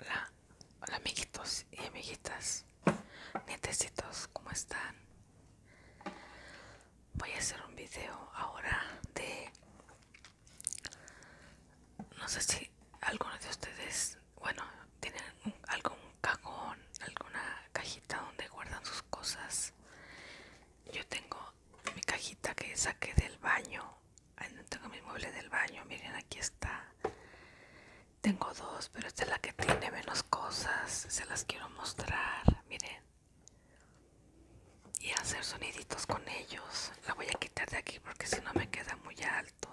Hola, hola amiguitos y amiguitas, nietecitos, ¿cómo están? Voy a hacer un video ahora de... No sé si algunos de ustedes, bueno, tienen algún cajón, alguna cajita donde guardan sus cosas. Yo tengo mi cajita que saqué del baño Ahí no tengo mi mueble del baño. Miren, aquí está. Tengo dos, pero esta es la que tiene menos cosas. Se las quiero mostrar. Miren. Y hacer soniditos con ellos. La voy a quitar de aquí porque si no me queda muy alto.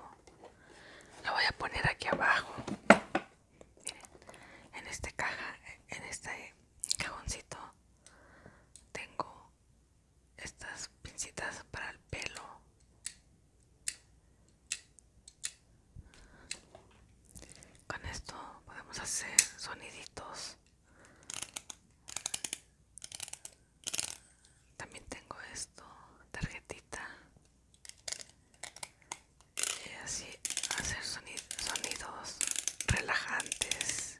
La voy a poner aquí abajo. Miren, en este caja, en este cajoncito tengo estas pincitas para el pelo con esto podemos hacer soniditos también tengo esto tarjetita y así hacer sonidos relajantes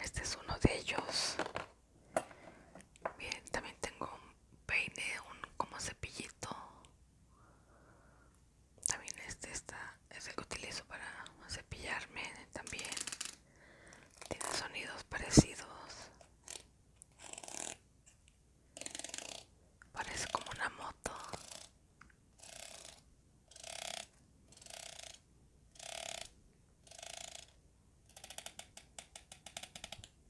Este es uno de ellos. Bien, también tengo un peine, un como cepillito también este está, es el que utilizo para cepillarme también. Tiene sonidos parecidos. Parece como una moto.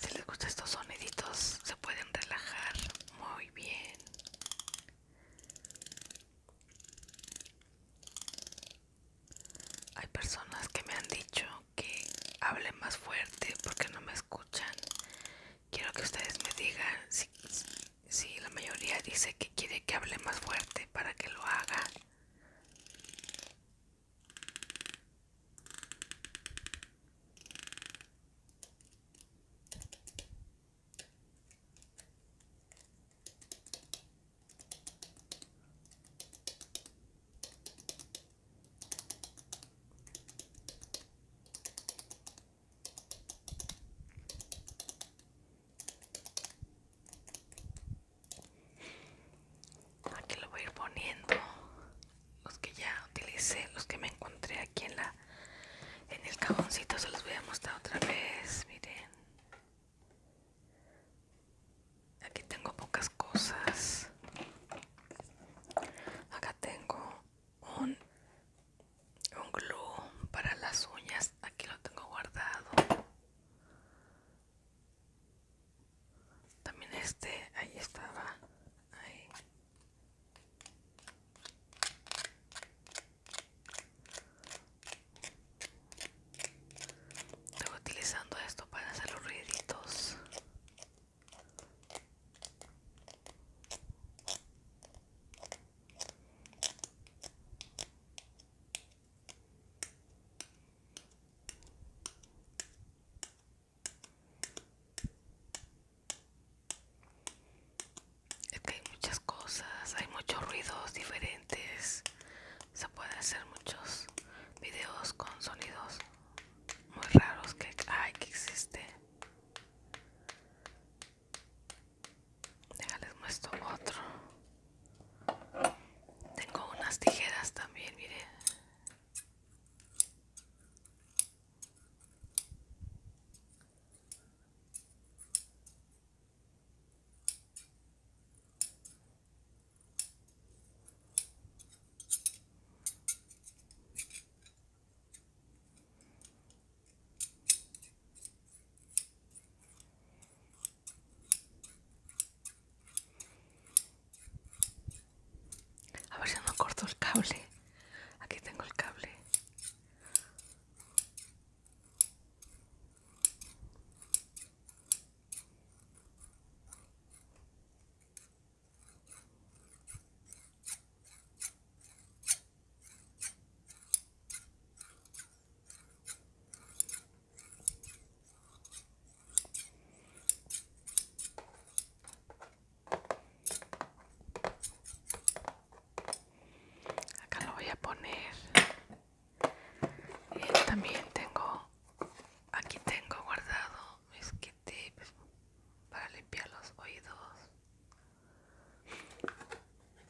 Si les gustan estos soniditos, se pueden relajar muy bien. Hay personas que me han dicho que hablen más fuerte porque no me escuchan. Quiero que ustedes me digan si, Sí, la mayoría dice que quiere que hable más fuerte para que lo haga. Aquí lo voy a ir poniendo los que ya utilicé, los que me encontré aquí en la en el cajoncito se los voy a mostrar otra vez, miren. Aquí tengo pocas cosas. Acá tengo un un glue para las uñas aquí lo tengo guardado también este ahí estaba ahí. estoy utilizando esto para hacer los ruiditos es que hay muchas cosas, hay muchos ruidos diferentes. Se pueden hacer muchos videos con sonidos muy raros que hay que existen. Déjales muestro otro. Tengo unas tijeras también, mire. A ver si no corto el cable. Aquí tengo el cable. Acá lo voy a poner. Y también tengo, aquí tengo guardado mis kit tip para limpiar los oídos.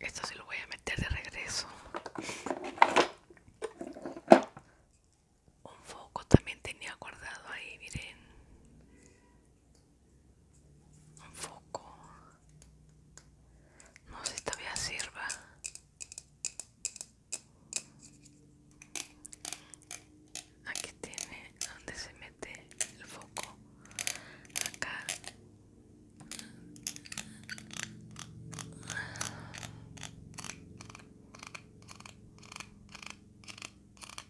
Esto se lo voy a meter de regreso un foco también tenía guardado ahí, miren. Un foco. No sé si todavía sirva. Aquí tiene donde se mete el foco. Acá.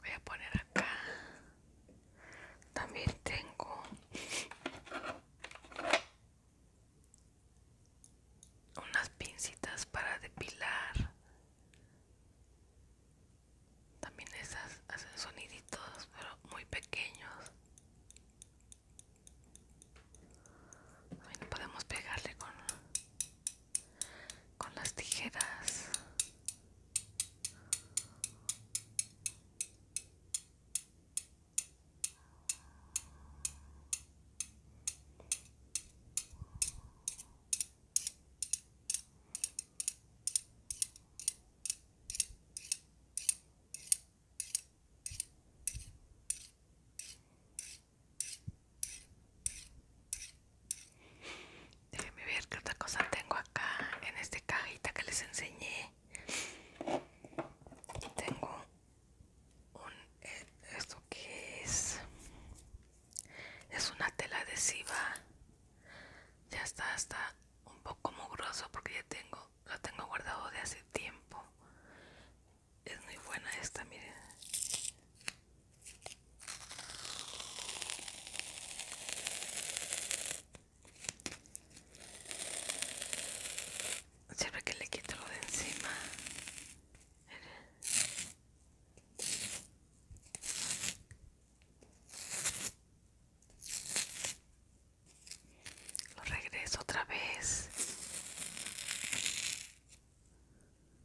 voy a poner acá también tengo unas pincitas para depilar también esas hacen soniditos pero muy pequeños también podemos pegarle con con las tijeras Déjenme ver qué otra cosa tengo acá en esta cajita que les enseñé. tengo un eh, esto que es es una tela adhesiva. Ya está, está un poco mugroso porque ya tengo lo tengo guardado de hace tiempo. Es muy buena esta, miren. Siempre que le quito lo de encima. Lo regreso otra vez.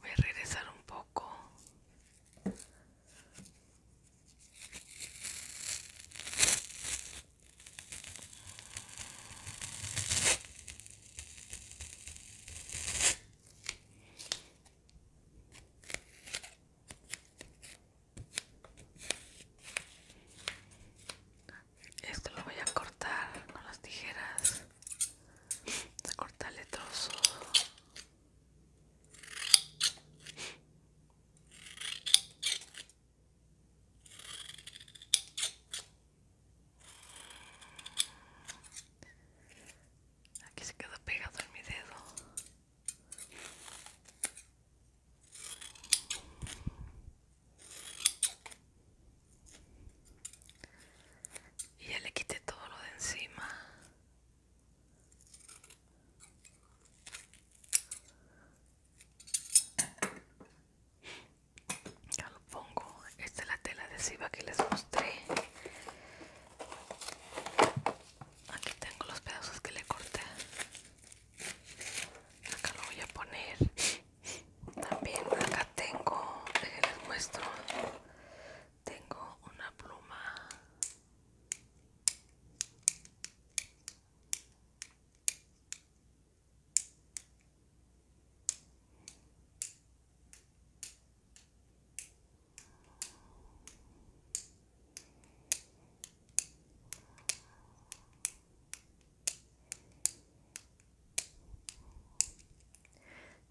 Voy a regresar un poco. Esto lo voy a cortar con las tijeras. Voy a cortarle trozo Aquí se quedó pegado en mi dedo. Y ya le quité todo lo de encima. Ya lo pongo. Esta es la tela adhesiva que les mostré. Aquí tengo los pedazos que le corté acá lo voy a poner también acá tengo les muestro tengo una pluma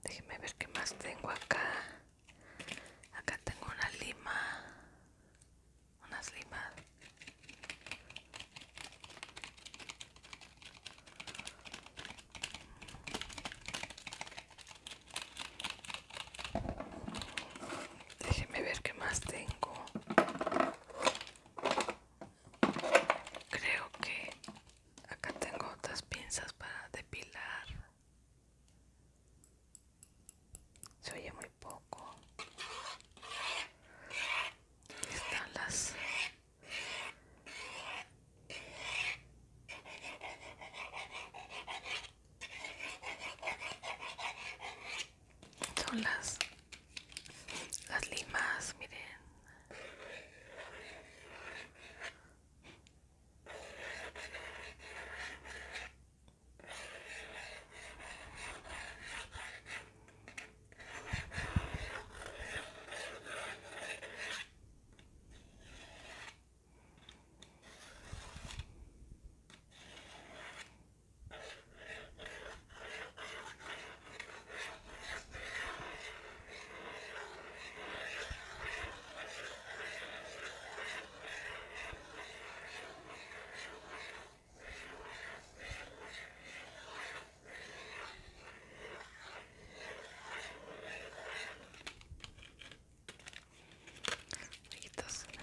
Déjeme ver qué más tengo acá. Acá tengo una lima. Unas limas. Déjeme ver qué más tengo. Creo que acá tengo otras pinzas para depilar. Se oye muy poco. están las son las las limas miren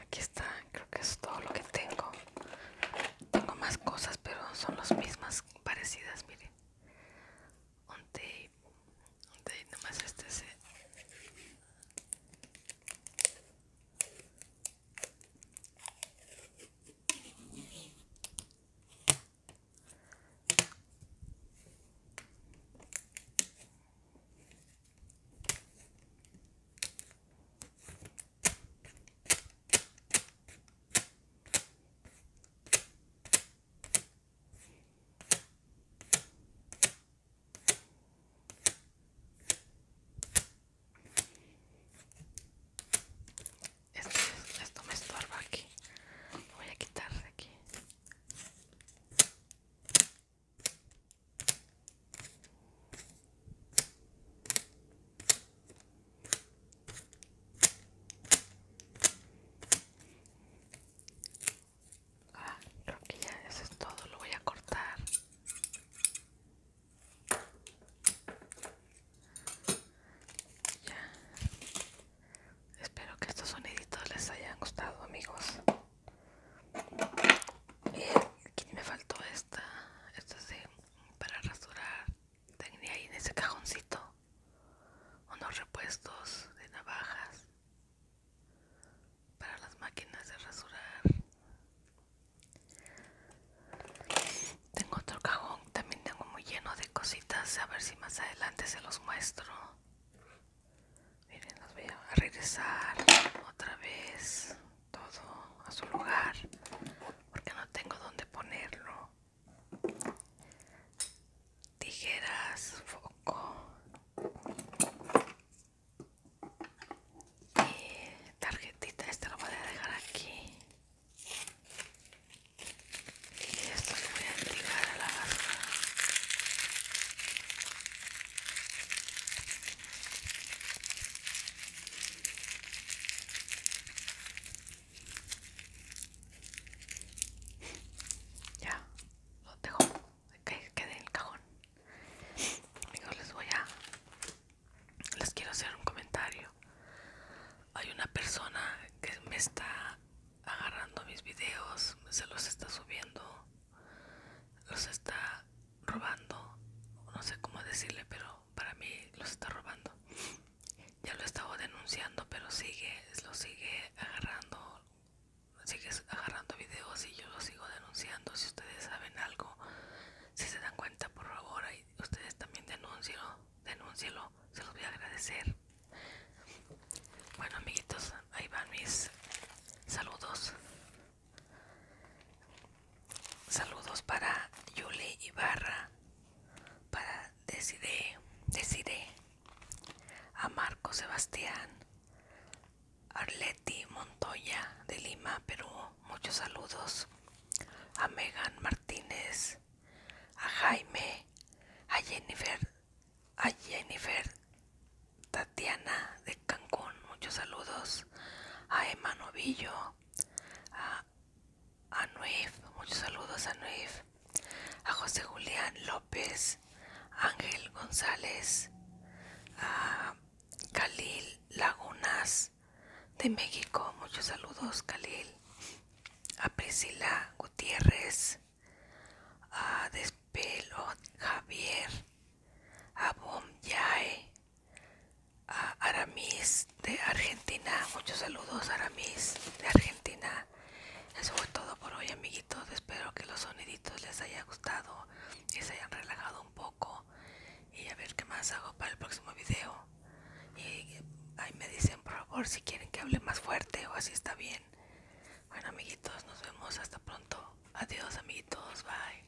aquí está, creo que es todo lo que tengo tengo más cosas, pero son las mismas parecidas, mire Un nomás este esto me estorba aquí. voy a quitar de aquí. Ah, creo que ya eso es todo, lo voy a cortar. Ya. Espero que estos soniditos les hayan gustado, amigos. aquí me faltó esta. Esta para rasurar tenía ahí en ese cajoncito unos repuestos de navajas para las máquinas de rasurar tengo otro cajón también tengo muy lleno de cositas a ver si más adelante se los muestro miren los voy a regresar otra vez todo a su lugar porque no tengo dónde ponerlo tijeras foco y tarjetita esta lo voy a dejar aquí y esto lo voy a tirar a la basura ya, lo dejo que quede en el cajón. Amigos, les voy a. Les quiero hacer un comentario. Hay una persona que me está agarrando mis videos, se los está subiendo, los está robando, no sé cómo decirle, pero para mí los está robando. Ya lo estaba denunciando, pero sigue, lo sigue agarrando, sigue agarrando videos y yo lo sigo denunciando. Si ustedes saben algo, si se dan cuenta, por favor, ahí, ustedes también denúncielo, denúncielo, se los voy a agradecer. Bueno, amiguitos, ahí van mis saludos. Saludos para Yuli Ibarra, para Desiree, Desiree, a Marco Sebastián, Arleti Montoya de Lima, Perú, muchos saludos, a Megan Martínez, a Jaime, a Jennifer, a Jennifer Tatiana de Cancún, muchos saludos, a Emma Novillo, a a muchos saludos a Nuif, a José Julián López, Ángel González, a Calil Lagunas de México, muchos saludos Khalil, a Priscila Gutiérrez, a Despelo Javier, a Bom Yae, a Aramis de Argentina. Muchos saludos, Aramis de Argentina. Eso fue todo por hoy, amiguitos. Espero que los soniditos les haya gustado y se hayan relajado un poco. Y a ver qué más hago para el próximo video. Y ahí me dicen, por favor, si quieren que hable más fuerte o así está bien. Bueno, amiguitos, nos vemos hasta pronto. Adiós, amiguitos. Bye.